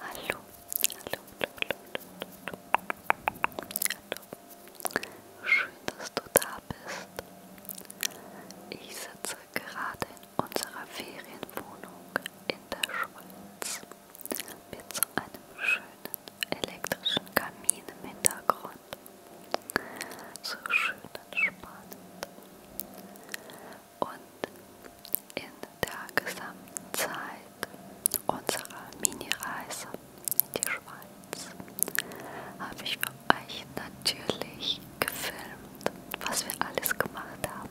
Hallo, hallo, hallo, hallo, hallo. Schön, dass du da bist. Ich sitze gerade in unserer Ferienwohnung in der Schweiz. Mit so einem schönen elektrischen Kamin im Hintergrund. So schön entspannend und in der gesamten Zeit unserer Mini-Reise in die Schweiz habe ich für euch natürlich gefilmt, was wir alles gemacht haben.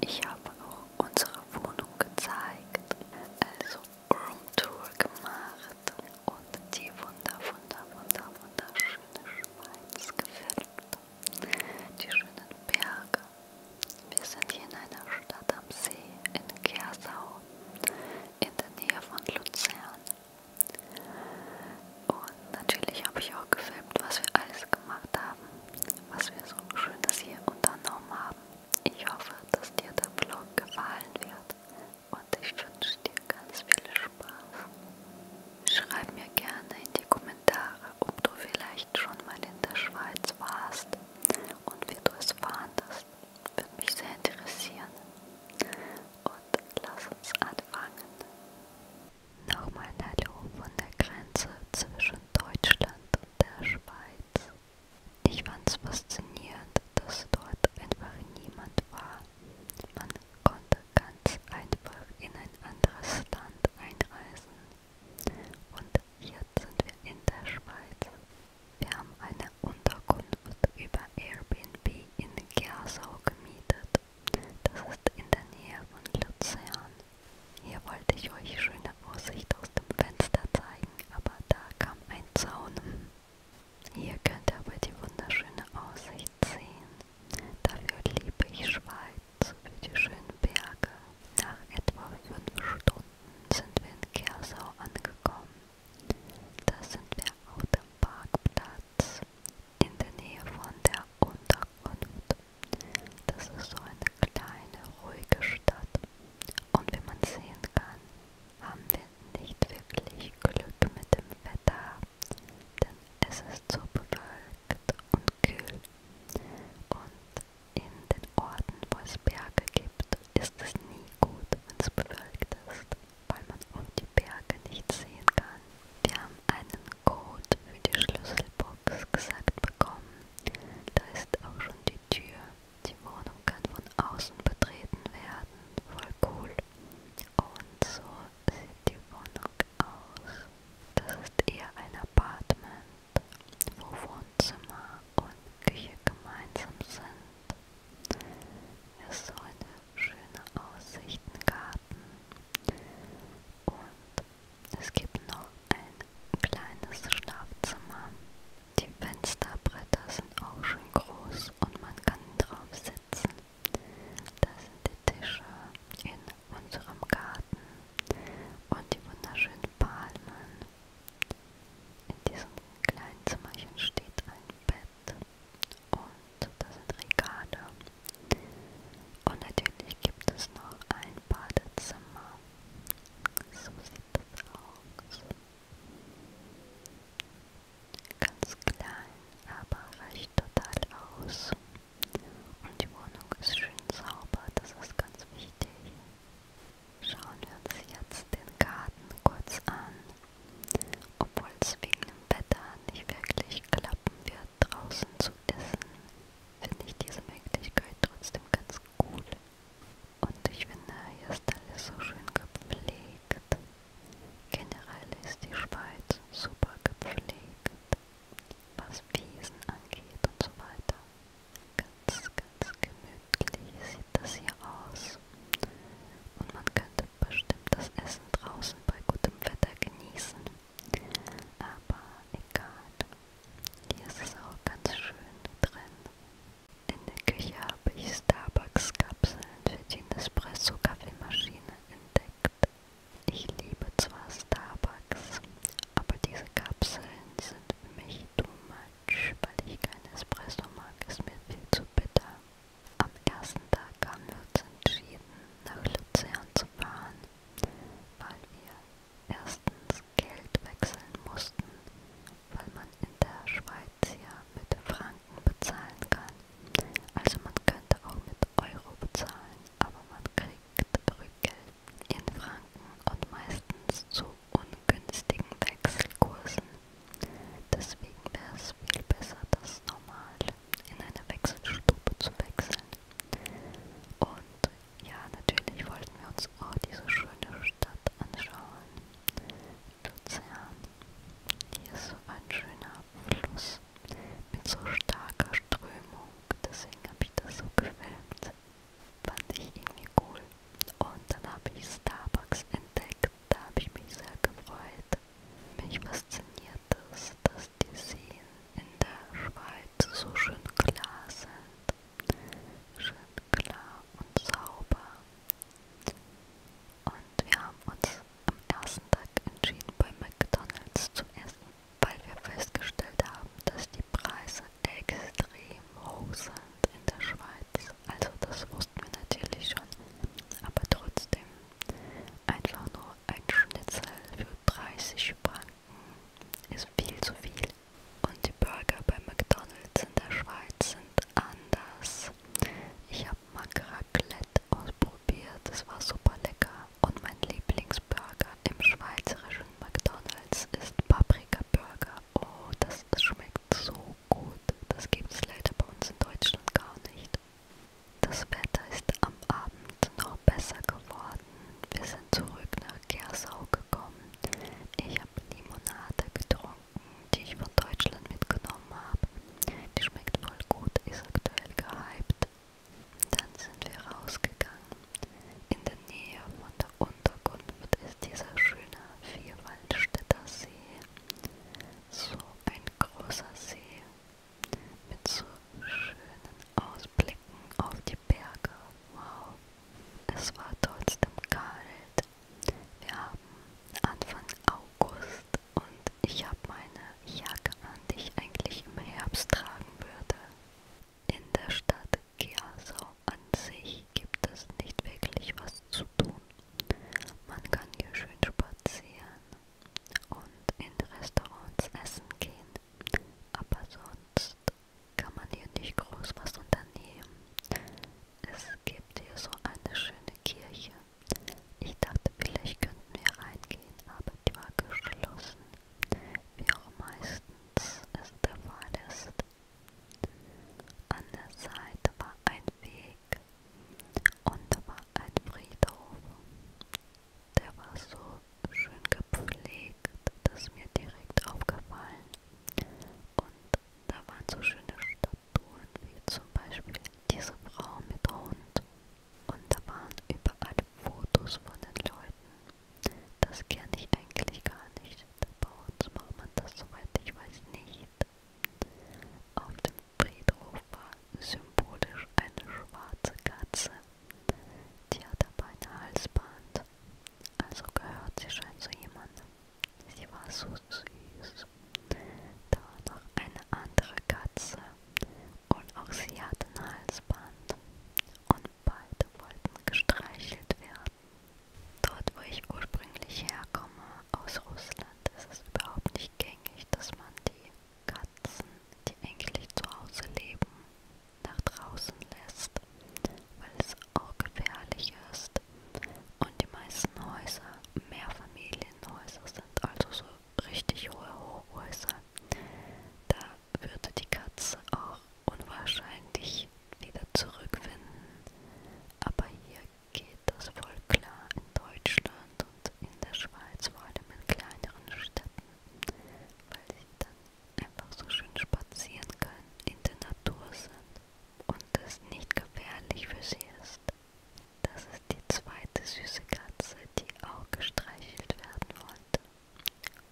Ich habe auch unsere Wohnung gezeigt, also Roomtour gemacht und die wunder, wunder, wunder, wunderschöne Schweiz gefilmt. Die schönen Berge, wir sind hier in einer Stadt am See in Kersau in der Nähe von Luzern. Und natürlich habe ich auch gefilmt, was wir alles gemacht haben, was wir so schönes hier unternommen haben. Ich hoffe, dass dir der Vlog gefallen wird und ich wünsche dir ganz viel Spaß. Schreib mir gerne in die Kommentare Kommentare, ob du vielleicht schon mal in der Schweiz warst und wie du es fandest. Würde mich sehr interessieren. Und lass uns anfangen. Nochmal ein Hallo von der Grenze zwischen Deutschland und der Schweiz. Ich fand es faszinierend, dass dort einfach niemand war. Man konnte ganz einfach in ein anderes Land einreisen. Und jetzt sind wir in der Schweiz. Wir haben eine Unterkunft über Airbnb in Gersau gemietet. Das ist in der Nähe von Luzern. Hier wollte ich euch schöne Aussicht aus dem Fenster zeigen, aber da kam ein Zaun. Hier könnt ihr aber die wunderschöne Aussicht sehen. Dafür liebe ich Schweiz über die schönen Berge. Nach etwa fünf Stunden sind wir in Kersau angekommen. Da sind wir auf dem Parkplatz in der Nähe von der Unterkunft. Das ist so eine kleine, ruhige Stadt. Und wie man sehen kann, haben wir nicht wirklich Glück mit dem Wetter, denn es ist so bewölkt und kühl. Und in den Orten, wo es Berge gibt, ist es nie gut, wenn es bewölkt ist, weil man um die Berge nicht sehen kann. Wir haben einen Code für die Schlüsselbox gesagt bekommen. Da ist auch schon die Tür. Die Wohnung kann von außen betreten werden. Voll cool. Und so sieht die Wohnung aus. Das ist eher ein Apartment wo Wohnzimmer und Küche gemeinsam sind. Es soll eine schöne Aussicht, einen Garten und es gibt noch ein kleines Schlafzimmer. Die Fensterbretter sind auch schön groß und man kann drauf sitzen. Da sind die Tische in unserem Garten und die wunderschönen Palmen. In diesem kleinen Zimmerchen steht ein Bett und da sind Regale. Und natürlich gibt es noch ein Badezimmer. So sieht das aus. Ganz klein, aber reicht total aus. Und die Wohnung ist schön sauber, das ist ganz wichtig. Schauen wir uns jetzt den Garten kurz an. Obwohl es wegen dem Wetter nicht wirklich klappen wird, draußen zu essen, finde ich diese Möglichkeit trotzdem ganz cool. Und ich finde, hier ist alles so schön gepflegt. Generell ist die Schweiz super gepflegt, was Wiesen angeht und so weiter. Ganz, ganz gemütlich sieht das hier aus. Und man könnte bestimmt das Essen draußen bei gutem Wetter genießen. Aber egal. Hier ist es auch ganz schön drin. In der Küche habe ich Starbucks-Kapseln für die Nespresso-Kaffeemaschine entdeckt. Ich liebe zwar Starbucks, aber diese Kapseln sind für mich too much, weil ich keinen Espresso mag, ist mir viel zu bitter. Am ersten Tag haben wir uns entschieden, nach Luzern zu fahren, weil wir erstens Geld wechseln mussten, weil man in der Schweiz ja mit Franken bezahlen kann. Also man könnte auch mit Euro bezahlen, aber man kriegt Rückgeld in Franken und meistens zu ungünstigen Wechselkursen. Deswegen wäre es viel besser, das normal in eine Wechselstube zu wechseln. Und ja, natürlich wollten wir uns auch diese schöne Stadt anschauen. Luzern. Hier ist so ein schöner Fluss mit so starker Strömung. Deswegen habe ich das so gefilmt. Fand ich irgendwie cool. Und dann habe ich Starbucks entdeckt. Da habe ich mich sehr gefreut. Mich fasziniert es, dass die Seen in der Schweiz so schön klar sind. Schön klar und sauber. Und wir haben uns am ersten Tag entschieden, bei McDonalds zu essen, weil wir festgestellt haben, dass die Preise extrem hoch sind in der Schweiz. Also das wussten wir natürlich schon. Aber trotzdem einfach nur ein Schnitzel für 30 Franken ist viel zu viel. Und die Burger bei McDonalds in der Schweiz sind anders. Ich habe Makraclette ausprobiert, das war super lecker. Und mein Lieblingsburger im schweizerischen McDonald's ist Paprika Burger. Oh, das, das schmeckt so gut. Das gibt es leider bei uns in Deutschland gar nicht. Das Wetter ist am Abend noch besser geworden. Wir sind zurück nach Gersau gekommen. Ich habe Limonade getrunken, die ich von Deutschland mitgenommen habe. Die schmeckt voll gut, ist aktuell gehypt. Dann sind wir rausgegangen in der Nähe von der Unterkunft ist dieser schöne Vierwaldstätter See. So ein großer See mit so schönen Ausblicken auf die Berge. Wow, es war trotzdem kalt. Wir haben Anfang August und ich habe meine Jacke an, die ich eigentlich im Herbst tragen würde. In der Stadt Kiasau an sich gibt es nicht wirklich was zu tun. Man kann hier schön spazieren und in Restaurants essen gehen, aber sonst kann man hier nicht groß was unternehmen. Es gibt hier so eine schöne Kirche. Ich dachte, vielleicht könnten wir reingehen, aber die war geschlossen. Wie auch meistens es der Fall ist, an der Seite war ein Weg und da war ein Friedhof. Der war so schön gepflegt, dass mir direkt aufgefallen. Und da waren so schöne Statuen, wie zum Beispiel diese Frau mit Hund. Und da waren überall Fotos von den Leuten. Das kenne ich eigentlich gar nicht. Bei uns macht man das, soweit ich weiß, nicht. Auf dem Friedhof war symbolisch eine schwarze Katze. Die hat aber ein Halsband. Also gehört sie scheint zu jemandem. Sie war so süß. Da war noch eine andere Katze. Und auch sie hatte ein Halsband. Und beide wollten gestreichelt werden. Dort, wo ich ursprünglich herkomme, aus Russland, ist es überhaupt nicht gängig, dass man die Katzen, die eigentlich zu Hause leben, nach draußen lässt, weil es auch gefährlich ist. Und die meisten Häuser, Mehrfamilienhäuser sind also so richtig hohe Hochhäuser. Da würde die Katze auch unwahrscheinlich wieder zurückfinden. Aber hier geht das voll klar in Deutschland und in der Schweiz, vor allem in kleineren Städten, weil sie dann einfach so schön spazieren können, in der Natur sind und es nicht gefährlich für sie ist. Das ist die zweite süße Katze, die auch gestreichelt werden wollte.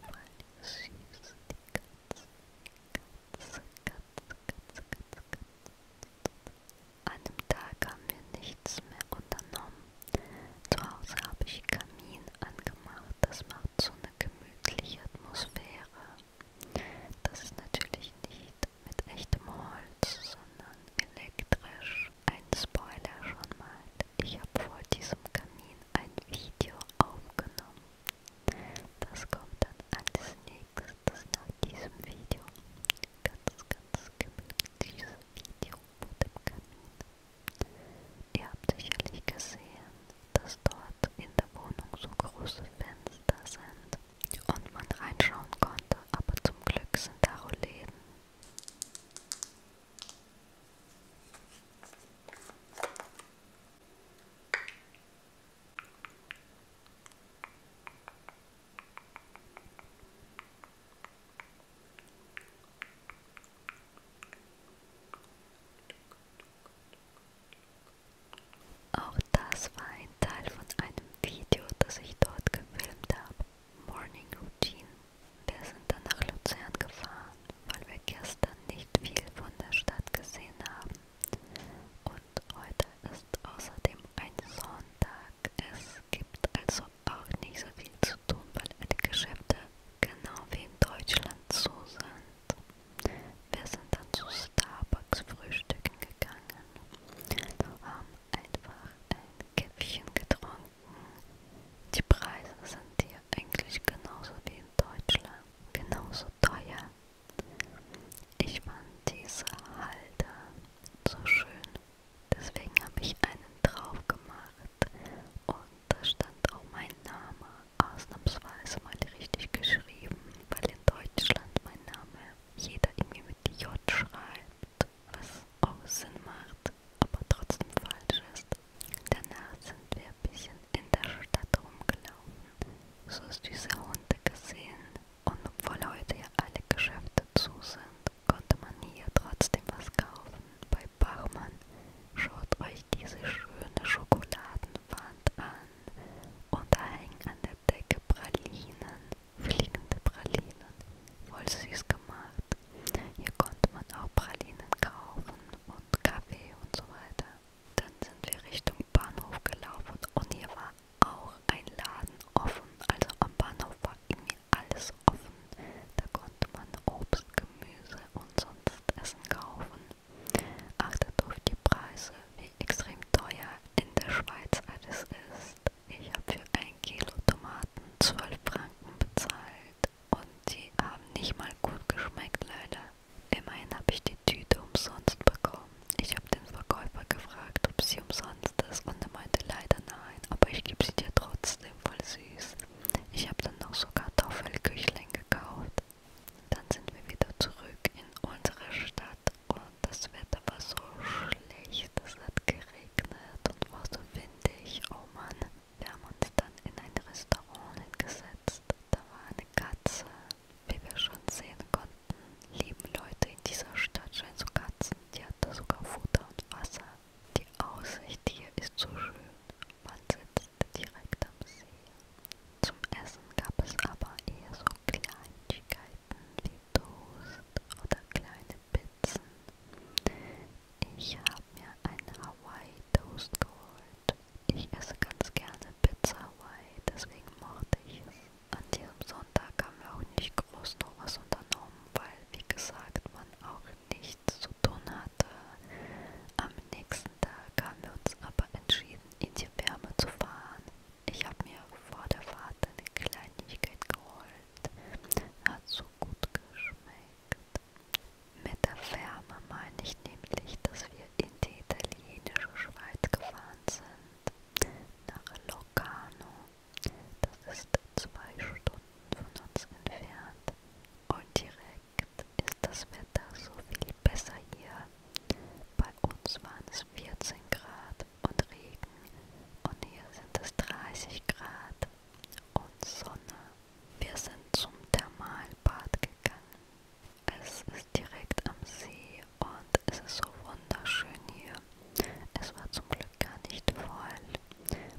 Voll süß, die Katze. Katz, Katz, Katz, Katz. An dem Tag haben wir nichts mehr unternommen. Zu Hause habe ich Kamin angemacht. Das macht so eine gemütliche Atmosphäre. Das ist natürlich nicht mit echtem Holz, sondern elektrisch. Ein Spoiler schon mal. Ich habe vor diesem Kamin ein Video aufgenommen. Das kommt dann als nächstes nach diesem Video. Ganz, ganz gemütliches Video vor dem Kamin. Ihr habt sicherlich gesehen, dass dort in der Wohnung so große Fenster sind und man reinschauen konnte, aber zum Glück sind da Roläden. Auch das war ein Teil von einem Video, das ich dort gefilmt habe. Morning Routine. Wir sind dann nach Luzern gefahren, weil wir gestern nicht viel von der Stadt gesehen haben und heute ist außerdem ein Sonntag. Es gibt also auch nicht so viel zu tun, weil die Geschäfte genau wie in Deutschland zu sind. Wir sind dann zu Starbucks frühstücken gegangen und haben einfach ein Käffchen getrunken. Die Preise sind hier eigentlich genauso wie in Deutschland. Genauso teuer. Ich fand diese Halter so schön, deswegen habe ich einen drauf gemacht und da stand auch mein Name, ausnahmsweise mal richtig geschrieben, weil in Deutschland mein Name jeder irgendwie mit J schreibt, was auch Sinn macht, aber trotzdem falsch ist. Danach sind wir ein bisschen in der Stadt rumgelaufen so ist diese Runde gesehen und obwohl heute ja alle Geschäfte zu sind, konnte man hier trotzdem was kaufen. Bei Bachmann schaut euch diese schöne Schokoladenwand an und da hängen an der Decke Pralinen, fliegende Pralinen, voll süß gemacht. Hier konnte man auch Pralinen kaufen und Kaffee und so weiter. Dann sind wir Richtung Bahnhof gelaufen und hier war auch ein Laden offen. Also am Bahnhof war irgendwie alles offen. Da konnte man Obst, Gemüse und sonst Essen kaufen. Achtet auf die Preise, wie extrem teuer in der Schweiz alles ist. Ich habe für ein Kilo Tomaten 12 Franken bezahlt und die haben nicht mal gut geschmeckt, leider. Immerhin habe ich die Tüte umsonst bekommen. Ich habe den Verkäufer gefragt, ob sie umsonst ist und er meinte leider nein, aber ich gebe sie dir trotzdem voll süß. Ich habe dann noch so Kartoffelküchlein gekauft. Dann sind wir wieder zurück in unsere Stadt und das Wetter war so schlecht. Es hat geregnet und war so windig. Oh Mann. Wir haben uns dann in ein Restaurant hingesetzt. Da war eine Katze, wie wir schon sehen konnten, leben Leute in dieser Stadt schon so Katzen, die hatten sogar Futter und Wasser. Die Aussicht hier ist so schön, man sitzt direkt am See. Zum Essen gab es aber eher so Kleinigkeiten wie Toast oder kleine Pizzen. Ich habe mir einen Hawaii Toast geholt ich esse ganz gerne Pizza Hawaii, deswegen mochte ich es. An diesem Sonntag haben wir auch nicht groß noch was unternommen, weil, wie gesagt, man auch nichts zu tun hatte. Am nächsten Tag haben wir uns aber entschieden, in die Wärme zu fahren. Ich habe mir vor der Fahrt eine Kleinigkeit geholt. Hat so gut geschmeckt. Mit der Wärme meine ich nämlich, dass wir in die italienische Schweiz gefahren sind, nach Locarno, das ist zwei Stunden von uns entfernt und direkt ist das Wetter so viel besser hier. Bei uns waren es 14 Grad und Regen und hier sind es 30 Grad und Sonne. Wir sind zum Thermalbad gegangen. Es ist direkt am See und es ist so wunderschön hier. Es war zum Glück gar nicht voll.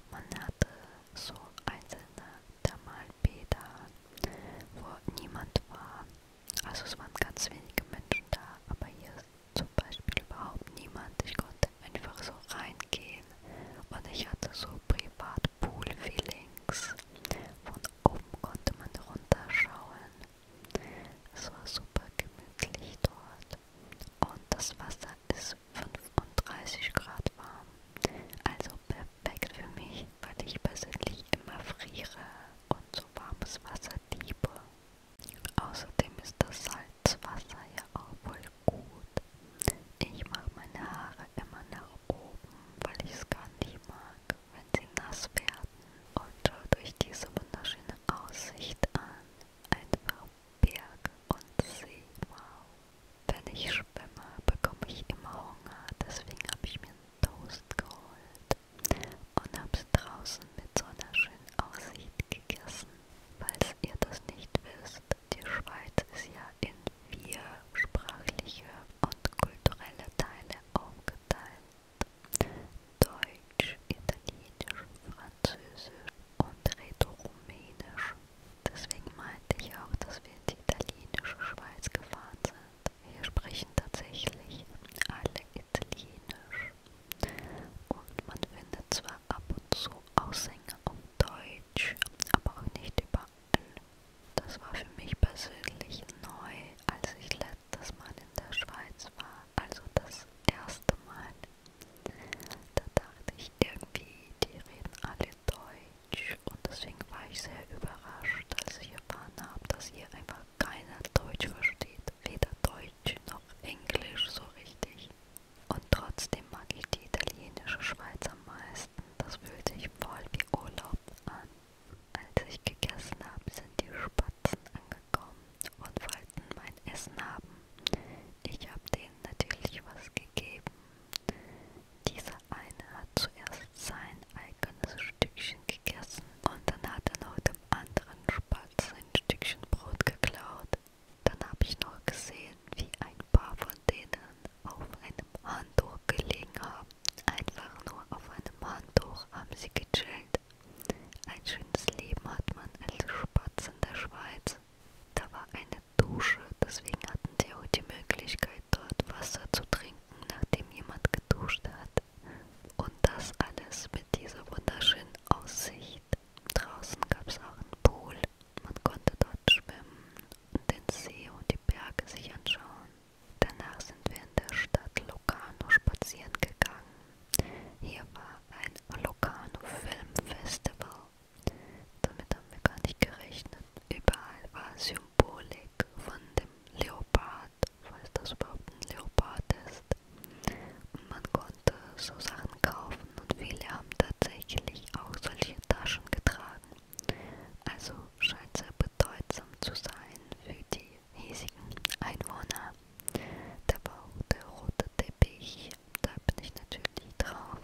Man hatte so einzelne Thermalbäder, wo niemand war. Also es waren ganz wenige Menschen da, aber hier ist zum Beispiel überhaupt niemand. Ich konnte einfach so reingehen und ich hatte so Privatpool-Feelings. Von oben konnte man runterschauen es war super gemütlich dort und das Wasser ist 35 Grad warm, also perfekt für mich, weil ich persönlich immer friere und so warmes Wasser liebe. Außerdem ist das Salzwasser ja auch voll gut. Ich mache meine Haare immer nach oben, weil ich es gar nicht mag wenn sie nass werden und schau durch diese wunderschöne Aussicht an. Einfach Berg und See. Wow. Wenn ich schwimme, bekomme ich immer Hunger, deswegen habe ich mir einen Toast geholt und habe es draußen mit so einer schönen Aussicht gegessen. Falls ihr das nicht wisst, die Schweiz ist ja in vier sprachliche und kulturelle Teile aufgeteilt. Deutsch, Italienisch, Französisch und Rätoromänisch. Deswegen meinte ich auch, dass wir in die italienische Schweiz gefahren sind. Hier sprechen tatsächlich alle Italienisch. Und man findet zwar ab und zu Aussänger auf Deutsch, aber auch nicht überall. Das war für mich persönlich neu, als ich letztes dass man in der Schweiz war, also das erste Mal. Da dachte ich irgendwie, die reden alle Deutsch und deswegen war ich sehr überrascht, als ich erfahren habe, dass hier einfach keiner Deutsch versteht, weder Deutsch noch Englisch so richtig. Und trotzdem mag ich die italienische Schweiz am meisten. Das fühlt sich voll wie Urlaub an. Als ich gegessen habe, sind die Spatzen angekommen und wollten mein Essen haben. Ich habe denen natürlich was gegeben. Dieser eine hat zuerst sein eigenes Stückchen gegessen und dann hat er noch dem anderen Spatz ein Stückchen Brot geklaut. Dann habe ich noch gesehen, wie ein paar von denen auf einem Handtuch gelegen haben Einfach nur auf einem Handtuch haben sie gechillt. Ein schönes Leben hat man als Spatz in der Schweiz. Da war eine Dusche, deswegen hatten sie auch die Möglichkeit, dort Wasser zu trinken, nachdem jemand geduscht hat. Und das alles mit dieser wunderschönen Aussicht. Draußen gab es auch einen Pool. Man konnte dort schwimmen und den See und die Berge sich anschauen. Danach sind wir in der Stadt Locarno spazieren gegangen. Hier war ein Locarno Filmfestival. Damit haben wir gar nicht gerechnet. Überall war Symbolik von dem Leopard, falls das überhaupt ein Leopard ist. Und man konnte so Sachen kaufen und viele haben tatsächlich auch solche Taschen getragen. Also scheint sehr bedeutsam zu sein für die hiesigen Einwohner. Da war der rote Teppich, da bin ich natürlich drauf.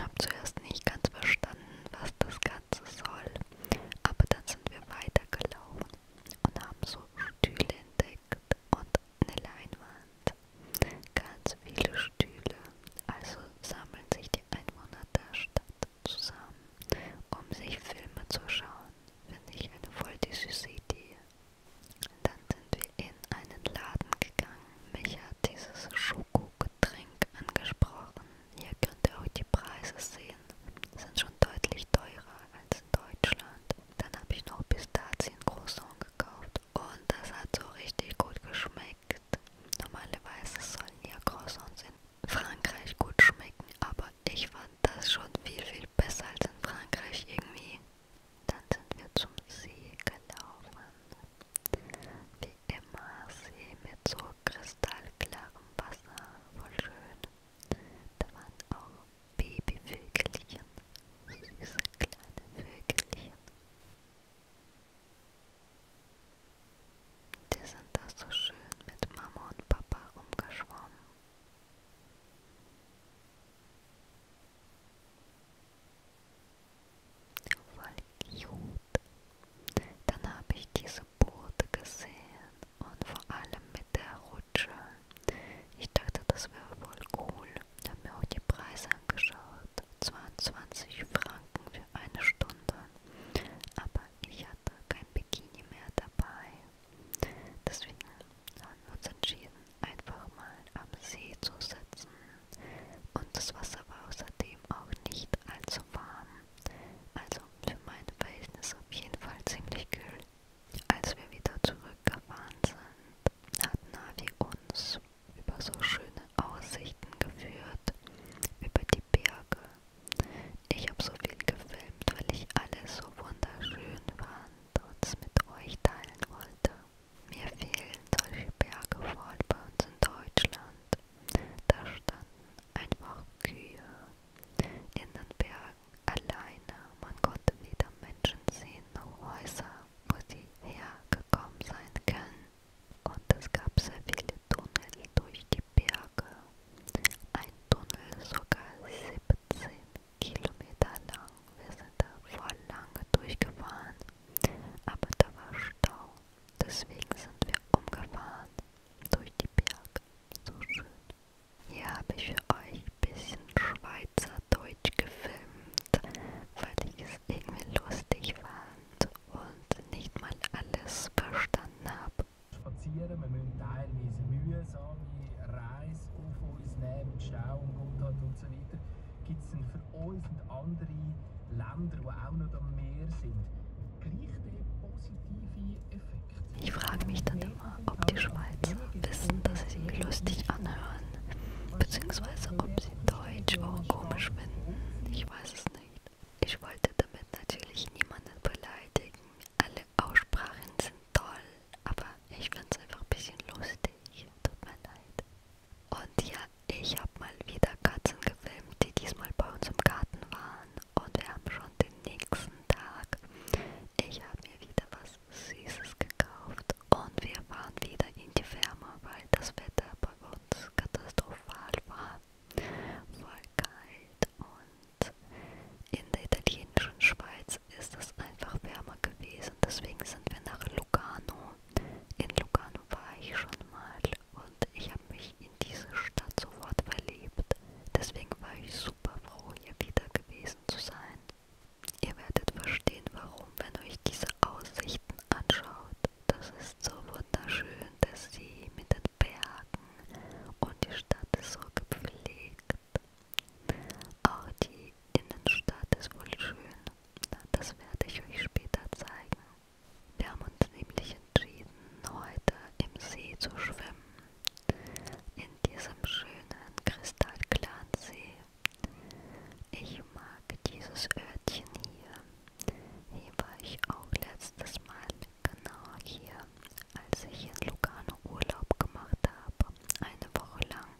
Hab zuerst nicht ganz verstanden, was das Ganze soll, aber dann sind wir weitergelaufen und haben so Stühle entdeckt und eine Leinwand. Ganz viele Stühle, also sammeln sich die Einwohner der Stadt zusammen, um sich Filme zu schauen. Finde ich eine voll die süße Idee. Dann sind wir in einen Laden gegangen. Mich hat dieses Schokogetränk angesprochen. Hier könnt ihr auch die Preise sehen. Sind schon deutlich teurer als in Deutschland. Dann habe ich noch Pistazien Croissant gekauft. Und das hat so richtig gut geschmeckt. Normalerweise sollen ja Croissants in Frankreich gut schmecken, aber ich fand das schon viel, viel besser als in Frankreich irgendwie. Dann sind wir zum See gelaufen. Wie immer See mit so kristallklarem Wasser, voll schön. Da waren auch Babyvögelchen, süße kleine Vögelchen. Die sind da so schön mit Mama und Papa rumgeschwommen Voll cute. Dann habe ich diese Boote gesehen und vor allem mit der Rutsche. Ich dachte, das wäre voll cool. Ich habe mir auch die Preise angeschaut. 22 Franken für eine Stunde. Aber ich hatte kein Bikini mehr dabei. Deswegen haben wir uns entschieden, einfach mal am See zu sitzen. Und das Wasser war außerdem auch nicht allzu warm. Also für meine Verhältnisse auf jeden Fall ziemlich kühl. Als wir wieder zurückgefahren sind, hat Navi uns über so schöne Aussichten geführt, über die Berge, ich habe so viel gefilmt, weil ich alles so wunderschön fand und es mit euch teilen wollte. Mir fehlen solche Berge voll bei uns in Deutschland. Da standen einfach Kühe in den Bergen alleine. Man konnte weder Menschen sehen noch Häuser, wo sie hergekommen sein können. Und es gab sehr viele Tunnel durch die Berge ein Tunnel sogar 17 Kilometer lang. Wir sind da voll lange durchgefahren, aber da war Stau. Deswegen sind wir umgefahren durch die Berge. So schön. Hier habe ich für euch ein bisschen Schweizerdeutsch gefilmt, weil ich es irgendwie lustig fand und nicht mal alles verstanden habe spazieren. Wir müssen teilweise mühsame Reisen auf uns nehmen, mit Stau und Gotthard und so weiter. Gibt es denn für uns und andere Länder, die auch noch am Meer sind, gleich den positiven Effekt? Ich frage mich dann immer, ob die Schweizer wissen, dass sie sich lustig anhören, beziehungsweise ob sie Deutsch auch komisch finden. Ich weiß es nicht. Ich wollte damit natürlich niemanden beleidigen, alle Aussprachen sind toll, aber ich find's einfach ein bisschen lustig. Tut mir leid. Und ja, ich habe mal wieder Katzen gefilmt, die diesmal bei uns im Garten waren. Und wir haben schon den nächsten Tag. Ich habe mir wieder was Süßes gekauft. Und wir fahren wieder in die Firma, weil das Wetter bei uns katastrophal war. Voll kalt und Land. In der italienischen Schweiz ist es einfach wärmer gewesen, deswegen sind wir nach Lugano. In Lugano war ich schon mal und ich habe mich in diese Stadt sofort verliebt. Deswegen war ich super froh, hier wieder gewesen zu sein. Ihr werdet verstehen, warum, wenn euch diese Aussichten anschaut. Das ist so wunderschön, der See mit den Bergen und die Stadt ist so gepflegt auch die Innenstadt ist wohl schön. Das werde ich euch später zeigen. Wir haben uns nämlich entschieden, heute im See zu schwimmen. In diesem schönen kristallklaren See. Ich mag dieses Örtchen hier. Hier war ich auch letztes Mal. Genau hier als ich in Lugano Urlaub gemacht habe, eine Woche lang.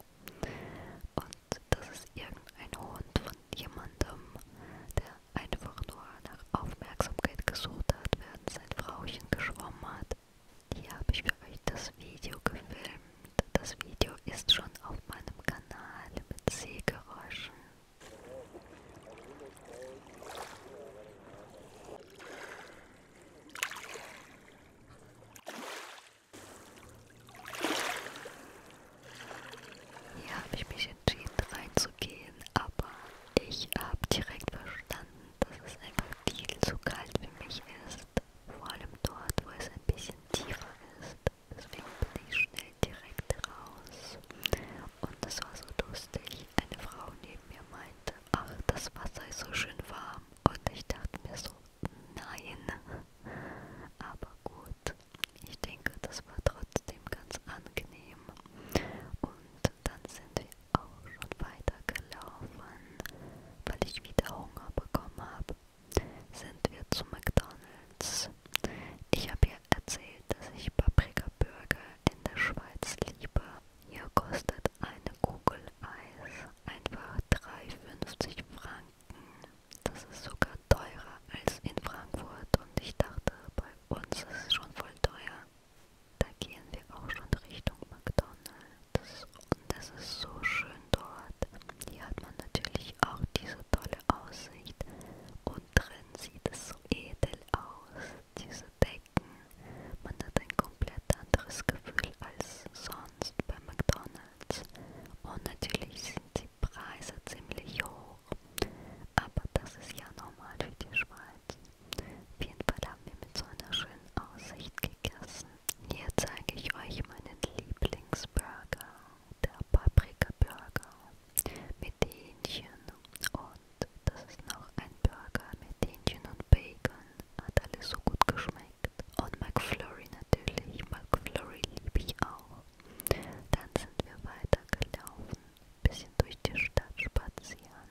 Und das ist irgendein Hund von jemandem, der einfach nur nach Aufmerksamkeit gesucht hat, während sein Frauchen geschwommen hat. Hier habe ich für euch das Video gefilmt. Das Video ist schon auf meinem Kanal mit Seegeräuschen. Hier habe ich mich entschieden reinzugehen, aber ich habe direkt verstanden, dass es einfach viel zu kalt für mich ist. Vor allem dort, wo es ein bisschen tiefer ist. Deswegen bin ich schnell direkt raus. Und das war so lustig. Eine Frau neben mir meinte, ach, das Wasser ist so schön warm. Und ich dachte mir so, nein. Aber gut, ich denke, das war trotzdem ganz angenehm. Und dann sind wir auch schon weitergelaufen, weil ich wieder Hunger bekommen habe. Sind wir zu McDonalds. Ich habe ja erzählt, dass ich Paprika-Burger in der Schweiz liebe hier kostet eine Kugel Eis einfach 3,50 Franken. Das ist sogar teurer als in Frankfurt und ich dachte, bei uns ist es schon voll teuer. Da gehen wir auch schon Richtung McDonald's und es ist so schön dort. Hier hat man natürlich auch diese tolle Aussicht und drin sieht es so edel aus. Diese entdecken. Man hat ein komplett anderes Gefühl als sonst bei McDonald's. Und natürlich sind die Preise ziemlich hoch. Aber das ist ja normal für die Schweiz. Auf jeden Fall haben wir mit so einer schönen Aussicht gegessen. Hier zeige ich euch meinen Lieblingsburger, der Paprika-Burger mit Hähnchen. Und das ist noch ein Burger mit Hähnchen und Bacon hat alles so gut geschmeckt. Und McFlurry natürlich, McFlurry liebe ich auch. Dann sind wir weitergelaufen, ein bisschen durch die Stadt spazieren.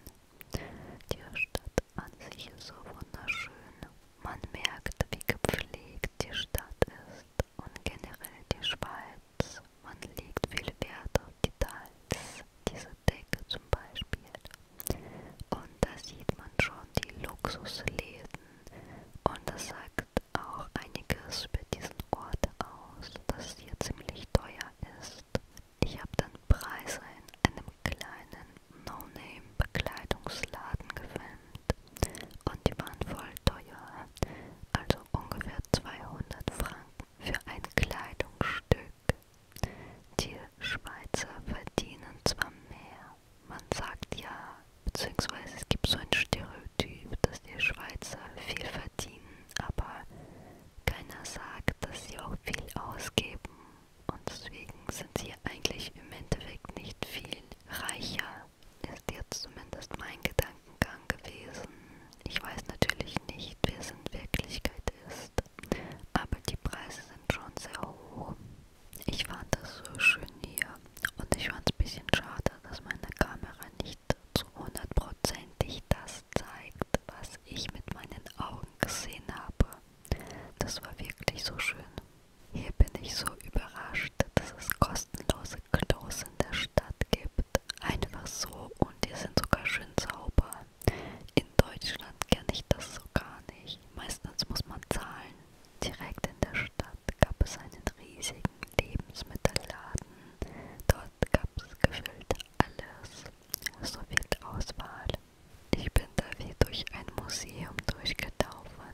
Die Stadt an sich ist so wunderschön. Man merkt, wie gepflegt die Stadt ist und generell die Schweiz. Man legt viel Wert auf Details diese Decke zum Beispiel. Und da sieht man schon die Luxusläden und das sagt auch einiges über diesen Ort aus, dass es hier ziemlich teuer ist. Ich habe dann Preise in einem kleinen No-Name-Bekleidungsladen gefilmt und die waren voll teuer, also ungefähr 200 Franken für ein Kleidungsstück die Schweizer verdienen zwar mehr, man sagt ja, beziehungsweise es gibt so ein Stereotyp, dass die Schweizer viel verdienen, aber keiner sagt, dass sie auch viel ausgeben und deswegen sind sie eigentlich im Endeffekt nicht viel reicher, ist jetzt zumindest mein Gedankengang gewesen. Ich weiß natürlich nicht, wer es in Wirklichkeit ist aber die Preise sind schon sehr hoch. Ich fand das so schön hier und ich fand es ein bisschen schade, dass meine Kamera nicht zu hundertprozentig das zeigt, was ich mit meinen Augen gesehen habe. Das war wirklich so schön. Hier bin ich so überrascht, dass es kostenlose Klos in der Stadt gibt. Einfach so und die sind sogar schön sauber. In Deutschland kenne ich das so gar nicht. Meistens muss man zahlen. Direkt in der Stadt gab es einen riesigen Lebensmittelladen. Dort gab es gefühlt alles. So viel Auswahl. Ich bin da wie durch ein Museum durchgelaufen.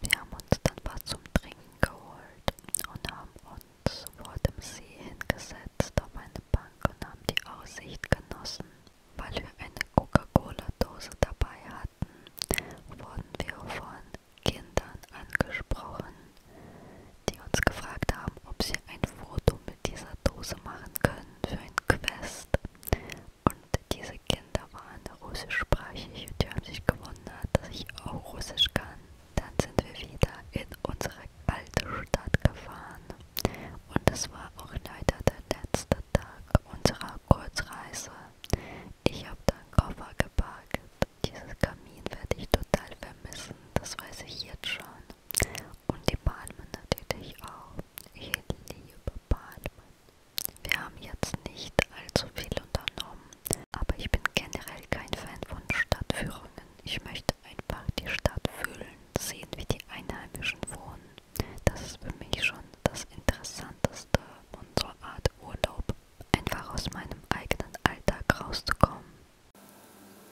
Wir haben uns dann was zum Trinken geholt und haben uns vor dem See hingesetzt auf eine Bank und haben die Aussicht genossen. Weil wir eine Coca-Cola-Dose dabei hatten, wurden wir von Kindern angesprochen, die uns gefragt haben, ob sie ein Foto mit dieser Dose machen können für ein Quest. Und diese Kinder waren russischsprachig und die haben sich gewundert, dass ich auch Russisch kann. Dann sind wir wieder in unsere alte Stadt gefahren und es war auch leider der letzte Tag unserer Kurzreise. Ich habe dann Koffer geparkt. Dieses Kamin werde ich total vermissen, das weiß ich jetzt schon. Und die Palmen natürlich auch. Ich liebe Palmen. Wir haben jetzt nicht allzu viel unternommen, aber ich bin generell kein Fan von Stadtführungen. Ich möchte einfach die Stadt fühlen, sehen, wie die Einheimischen wohnen das ist für mich schon das Interessanteste unserer Art Urlaub, einfach aus meinem eigenen Alltag rauszukommen.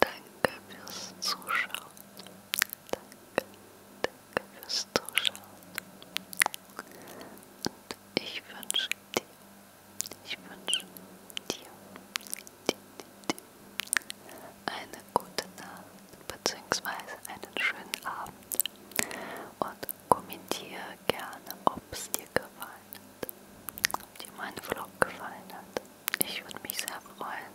Danke fürs Zuschauen. Danke, danke fürs Zuschauen. Und ich wünsche dir, ich wünsche dir, dir, dir, dir eine gute Nacht bzw. einen schönen Abend und kommentiere gerne, ob es dir gefallen hat, ob dir mein Vlog gefallen hat. Ich würde mich sehr freuen.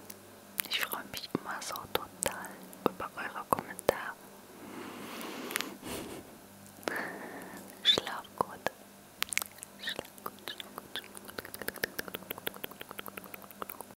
Ich freue mich immer so total über eure Kommentare. Schlaf gut. Schlaf gut, schlaf gut, schlaf gut.